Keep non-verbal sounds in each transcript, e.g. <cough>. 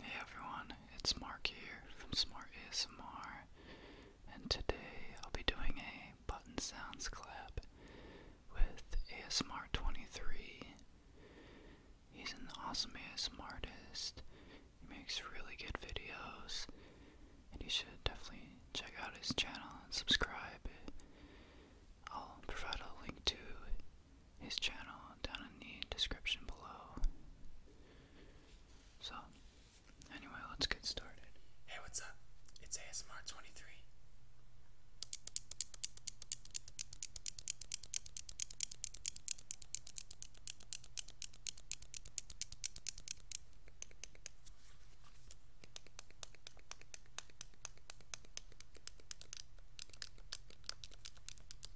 Hey everyone, it's Mark here from Smart ASMR, and today I'll be doing a button sounds clap with ASMR23. He's an awesome ASMR artist, he makes really good videos, and you should definitely check out his channel and subscribe. I'll provide a link to his channel down in the description below. So, anyway, let's get started. Hey, what's up? It's ASMR23.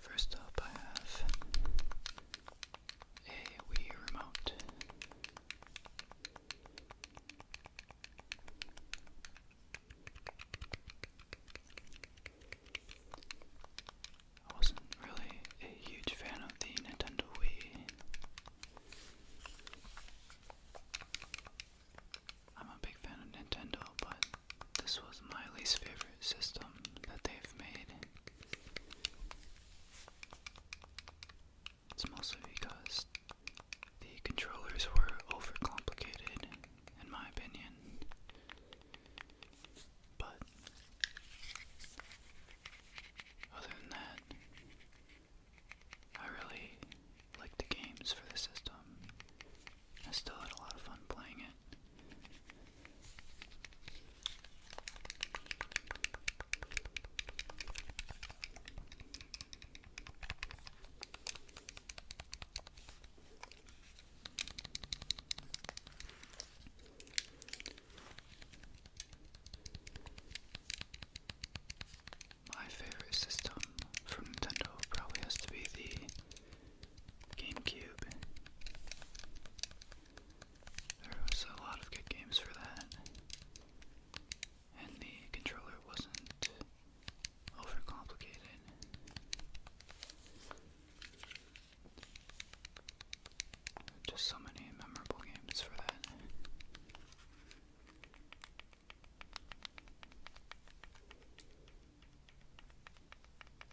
First up, I have a Wii remote. I wasn't really a huge fan of the Nintendo Wii. I'm a big fan of Nintendo, but this was my least favorite system that they've made. It's mostly because the controllers were overcomplicated, in my opinion. But other than that, I really liked the games for the system. I still had a lot of fun playing it. My favorite system from Nintendo probably has to be the GameCube. There was a lot of good games for that. And the controller wasn't overcomplicated. Just so many memorable games for that.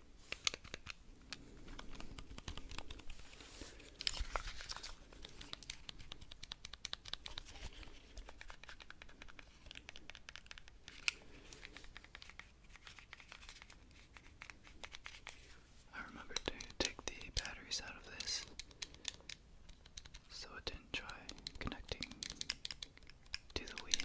I remember to take the batteries out of this so it didn't try connecting to the Wii.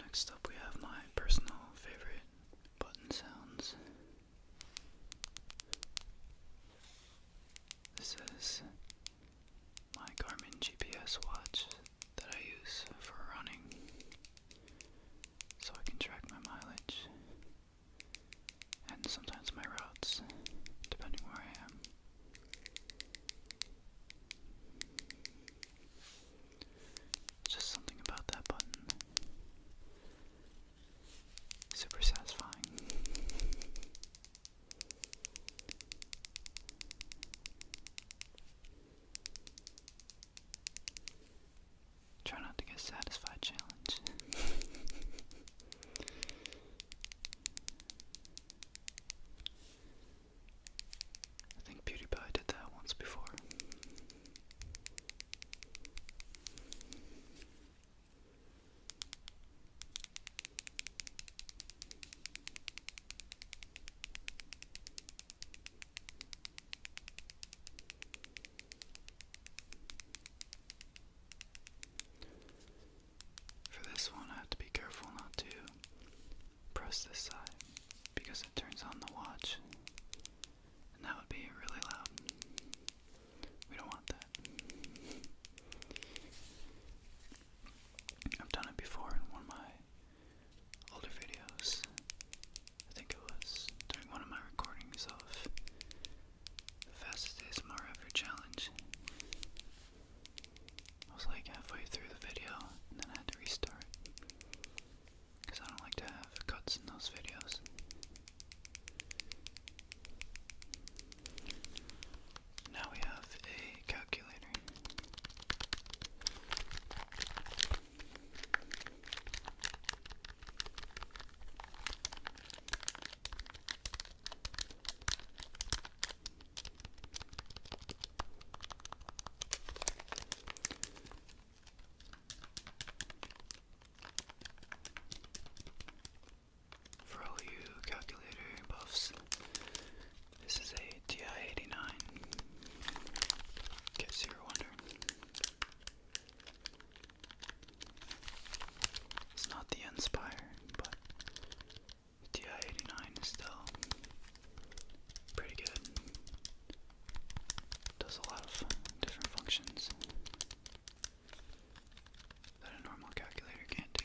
Next up, we have my personal favorite button sounds. This is my Garmin GPS watch that I use for running so I can track my mileage and sometimes my routes depending where I am. Just something about that button. Super satisfying. Try not to get satisfied challenge. I think PewDiePie did that once before. For this one, I have to be careful not to press this side because it turns on the watch, and that would be really loud. We don't want that. I've done it before in one of my older videos. I think it was during one of my recordings of the fastest ASMR ever challenge. I was like halfway through the video and then I had to restart. Because I don't like to have cuts in those videos. Now we have a calculator. For all you calculator buffs, this is a TI 89. Guess you're wondering. It's not the Inspire, but TI 89 is still pretty good. Does a lot of different functions that a normal calculator can't do.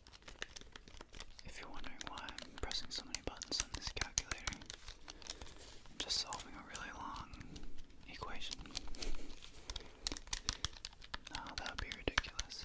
If you're wondering why I'm pressing so many buttons on this calculator, I'm just solving a really long equation. No, <laughs> oh, that would be ridiculous.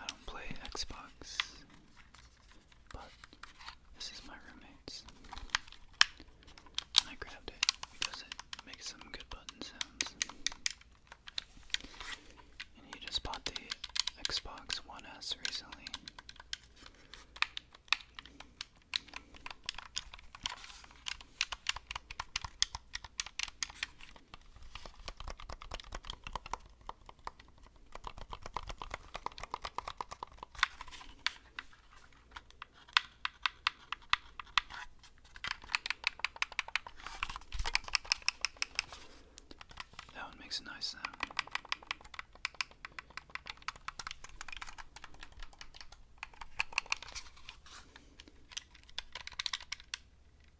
I don't play Xbox, this is my roommate's. I grabbed it because it makes some good button sounds. And he just bought the Xbox One S recently. That one makes a nice sound.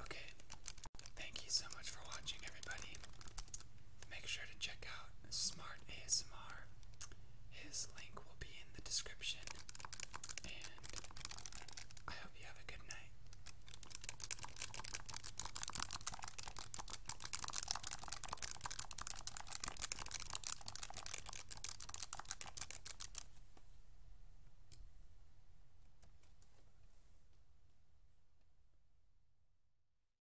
Okay. Thank you so much for watching, everybody. Make sure to check out Smart ASMR his link will be in the description. And I hope you have a good night.